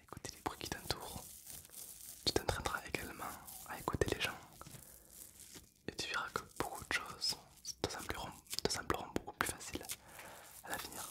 à écouter les bruits qui t'entourent. Tu t'entraîneras également à écouter les gens et tu verras que beaucoup de choses te sembleront beaucoup plus faciles à l'avenir.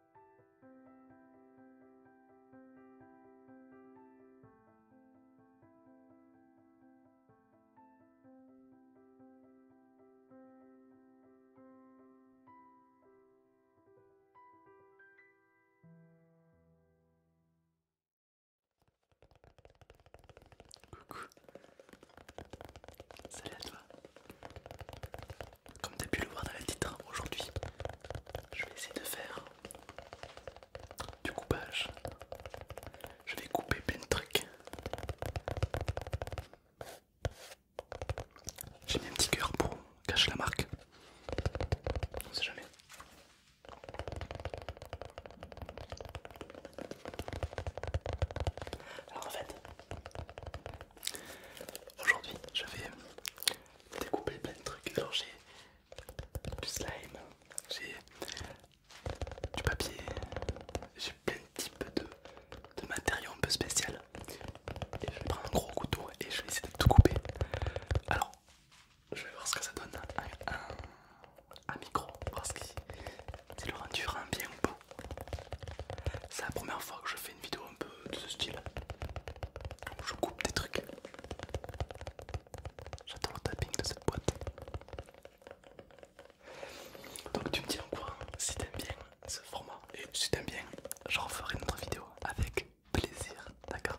Coucou Salut toi comme tu as pu le voir dans le titre, hein, aujourd'hui je vais essayer de faire du coupage. Je vais couper plein de trucs. J'ai mis un petit cœur pour cacher la marque. On sait jamais. Alors en fait, aujourd'hui je vais découpé plein de trucs. Alors j'ai du slime, j'ai du papier, j'ai plein de types de, matériaux un peu spécial. Et je vais prendre un gros couteau et je vais essayer de tout couper. Alors je vais voir ce que ça donne un, un, micro, voir si, si le rendu rend bien ou pas. C'est la première fois que je fais une vidéo un peu de ce style je coupe des trucs. J'attends le tapping de cette boîte. Donc tu me dis en quoi si t'aimes bien ce format et si t'aimes bien, je referai une autre vidéo avec plaisir, d'accord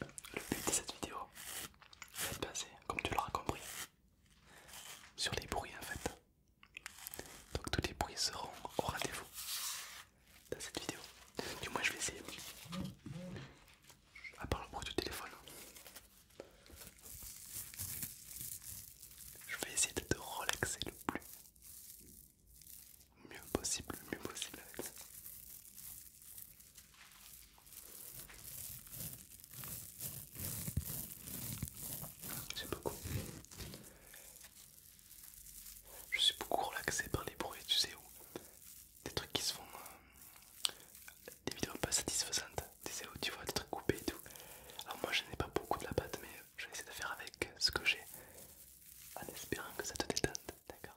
le but de cette vidéo va être passer, comme tu l'auras compris, sur les bruits en fait. Donc tous les bruits seront au rendez-vous dans cette vidéo. Du moins je vais essayer. À part le bruit du téléphone. Je vais essayer de te relaxer le plus mieux possible, mieux possible avec beaucoup. Je suis beaucoup relaxé par les bruits, tu sais où Des trucs qui se font... Euh, des vidéos pas satisfaisantes, des sais où tu vois, des trucs coupés et tout. Alors moi je n'ai pas beaucoup de la pâte mais je vais essayer de faire avec ce que j'ai en espérant que ça te détende, d'accord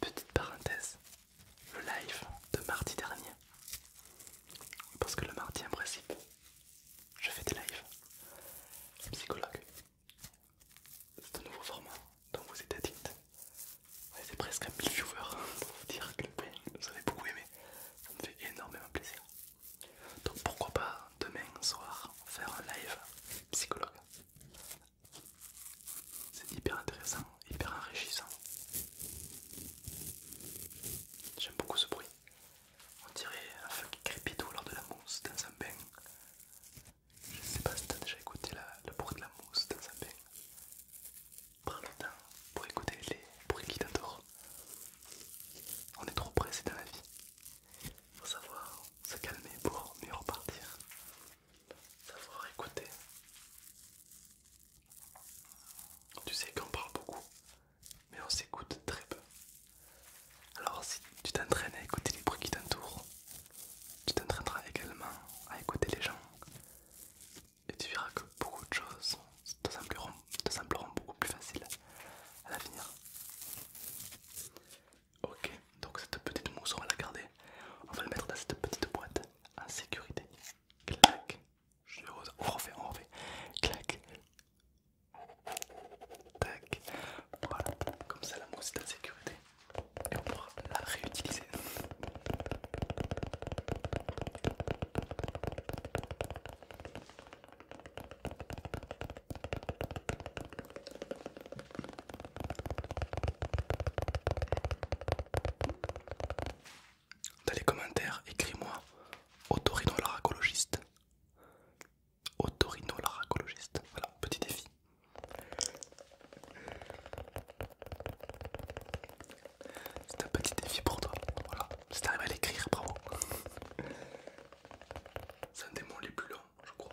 Petite parenthèse, le live de mardi dernier. Parce que le mardi en principe, je fais des lives. Psychologue. C'est un nouveau format dont vous êtes addict. On presque un mille viewers pour vous dire que vous avez beaucoup aimé. Ça me fait énormément plaisir. Donc pourquoi pas demain soir faire un live psychologue. C'est hyper intéressant, hyper enrichissant. J'aime beaucoup ce bruit. On dirait un feu qui crépite de la mousse dans un bain. Je sais pas si t'as déjà écouté le bruit de la mousse dans un bain. Prends le temps pour écouter les bruits qui t'entourent. On est trop pressé dans la vie. Faut savoir se calmer pour mieux repartir. Savoir écouter. Tu sais qu'on parle beaucoup, mais on s'écoute très peu. Alors si tu t'entraînes à écouter les bruits qui t'entourent, tu t'entraîneras également à écouter les gens et tu verras que beaucoup de choses te, sembleront, beaucoup plus faciles à l'avenir. Ok, donc cette petite mousse, on va la garder. On va la mettre dans cette petite boîte en sécurité. Clac, je rose. On refait, on refait. Clac, tac. Voilà, comme ça la mousse est en sécurité et on pourra la réutiliser. Dans les commentaires, écris-moi Autorino l'aracologiste. Voilà, petit défi. C'est un petit défi pour toi, voilà. Si t'arrives à l'écrire, bravo. C'est un des mots les plus longs, je crois.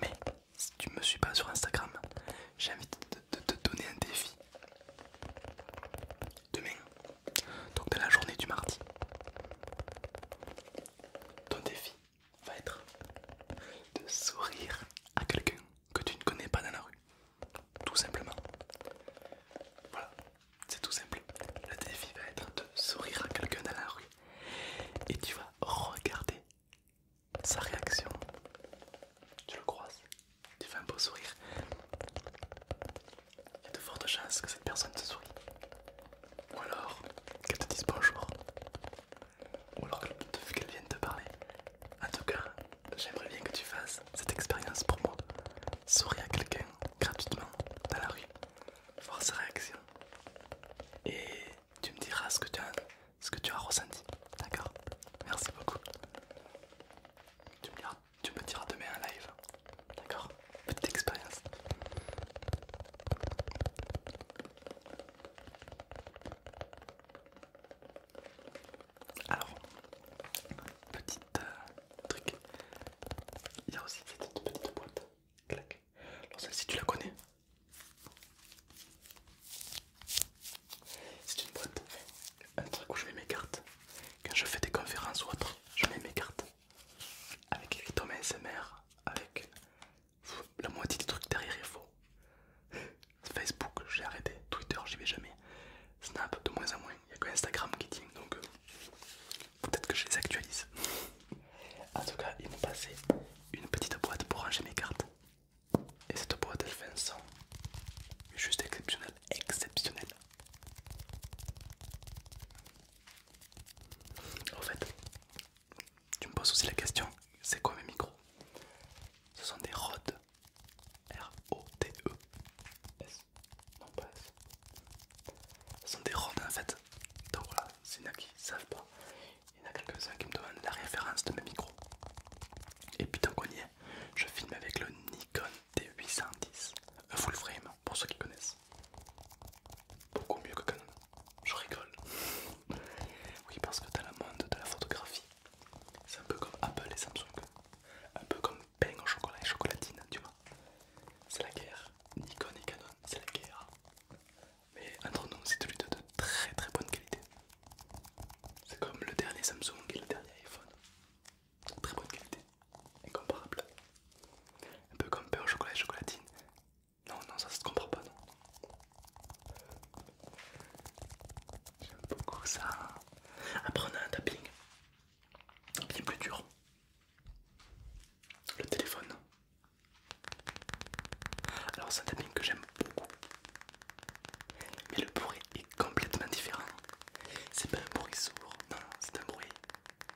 Mais si tu me suis pas sur Instagram, j'ai envie de te donner un défi. Demain, donc de la journée du mardi, ton défi va être de sourire à quelqu'un que tu ne connais pas dans la rue. Tout simplement. Voilà, c'est tout simple. Le défi va être de sourire à quelqu'un dans la rue. Et tu vas regarder sa réaction. Tu le croises, tu fais un beau sourire il y a de fortes chances que cette personne te sourie. Ou alors qu'elle te dise bonjour. Ou alors qu'elle vienne te parler. En tout cas, j'aimerais bien que tu fasses cette expérience pour moi. Sourire à quelqu'un gratuitement dans la rue. Voir sa réaction. Et tu me diras ce que tu as, ressenti. D'accord Merci beaucoup. Tu me, diras, tu me diras demain en live. D'accord petite expérience. Alors, petit euh, truc, il y a aussi cette petite boîte. Clac. Alors celle-ci tu la connais C'est une boîte, un truc où je mets mes cartes. Quand je fais des conférences ou autre, je mets mes cartes avec les SMR, avec la moitié des trucs derrière est faux. Facebook, j'ai arrêté, Twitter, j'y vais jamais, Snap, de moins en moins, il n'y a que Instagram qui tient donc euh, peut-être que je les actualise. en tout cas, ils m'ont passé une petite boîte pour ranger mes cartes. Et cette boîte elle fait un son juste exceptionnel, exceptionnel. Au fait, tu me poses aussi la question, c'est quoi mes micros Ce sont des Rode. R-O-T-E. S. Non pas S. Ce sont des Rode en fait. Donc voilà, s'il y en a qui ne savent pas, il y en a quelques-uns qui me demandent la référence de mes micros. Et puis tant qu'on y je filme avec le Nikon t 810 full frame pour ceux qui connaissent. Beaucoup mieux que Canon. Je rigole. oui, parce que dans le monde de la photographie, c'est un peu comme Apple et Samsung. Un peu comme pain au chocolat et chocolatine, tu vois. C'est la guerre. Nikon et Canon, c'est la guerre. Mais entre nous, c'est celui de, de très très bonne qualité. C'est comme le dernier Samsung et le dernier iPhone. Très bonne qualité, incomparable. Un peu comme beurre, chocolat et chocolatine. Non, non, ça, se comprend pas, non. J'aime beaucoup ça. Après, on a un tapping bien plus dur. Le téléphone. Alors, c'est un tapping que j'aime beaucoup. Mais le bruit est complètement différent. C'est pas un bruit sourd, non, non c'est un bruit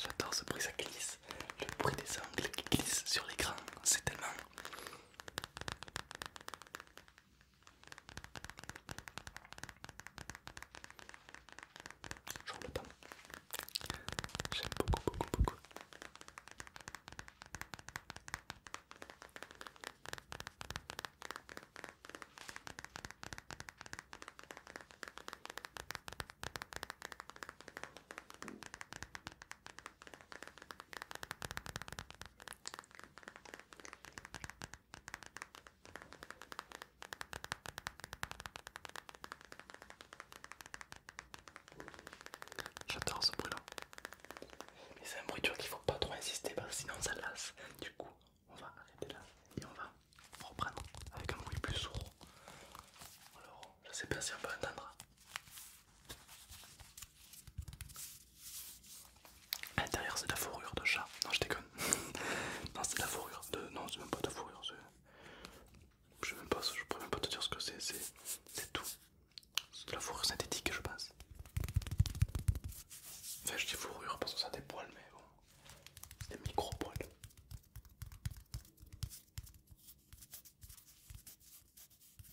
J'adore ce bruit, ça glisse. Le bruit des angles qui glissent sur l'écran, c'est tellement Genre le pain. J'aime beaucoup, beaucoup, beaucoup. J'adore ce bruit là. Mais c'est un bruit dur qu'il faut pas trop insister parce que sinon ça lasse. Du coup, on va arrêter là et on va reprendre avec un bruit plus sourd. Alors, je ne sais pas si on peut entendre. À eh, l'intérieur, c'est de la fourrure de chat. Non, je déconne. non, c'est de la fourrure de. Non, c'est même pas de fourrure. Je ne pourrais même pas te dire ce que c'est. C'est tout. C'est de la fourrure synthétique, je pense. Enfin, je dis fourrure parce que ça a des poils, mais bon. des micro-poils.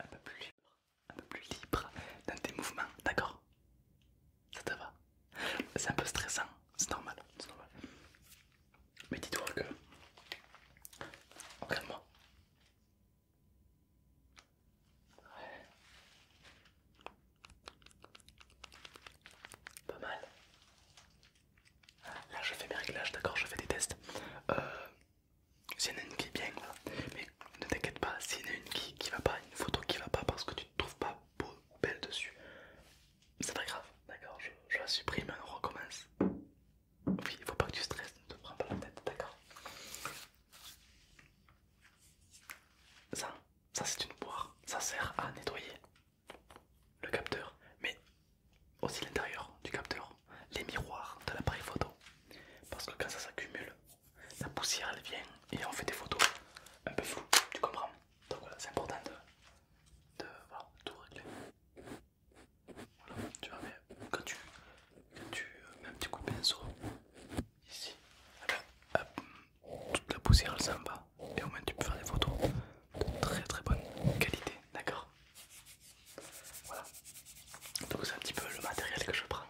Un peu plus libre, un peu plus libre dans tes mouvements, d'accord ça te va C'est un peu stressant, c'est normal, c'est normal. Mais dis-toi que... Regarde-moi. Pas mal. Là je fais mes réglages, d'accord, je fais des tests. Euh, S'il y en a une qui est bien, voilà. mais ne t'inquiète pas, s'il y en a une qui, qui va pas, une photo qui va pas parce que tu te trouves pas belle dessus. C'est pas grave, d'accord je, la supprime, on recommence. Oui, il faut pas que tu stresses, ne te prends pas la tête, d'accord Ça, ça c'est une boire, ça sert à nettoyer le capteur, mais aussi l'intérieur du capteur, les miroirs de l'appareil photo. Parce que quand ça s'accumule, la poussière elle vient et on fait des photos un peu floues, tu comprends donc voilà, c'est important de, tout régler. Voilà, tu vois, mais quand tu, mets un petit coup de pinceau ici, hop, toute la poussière elle s'en va et au moins tu peux faire des photos de très très bonne qualité, d'accord Voilà, donc c'est un petit peu le matériel que je prends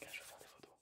quand je fais des photos.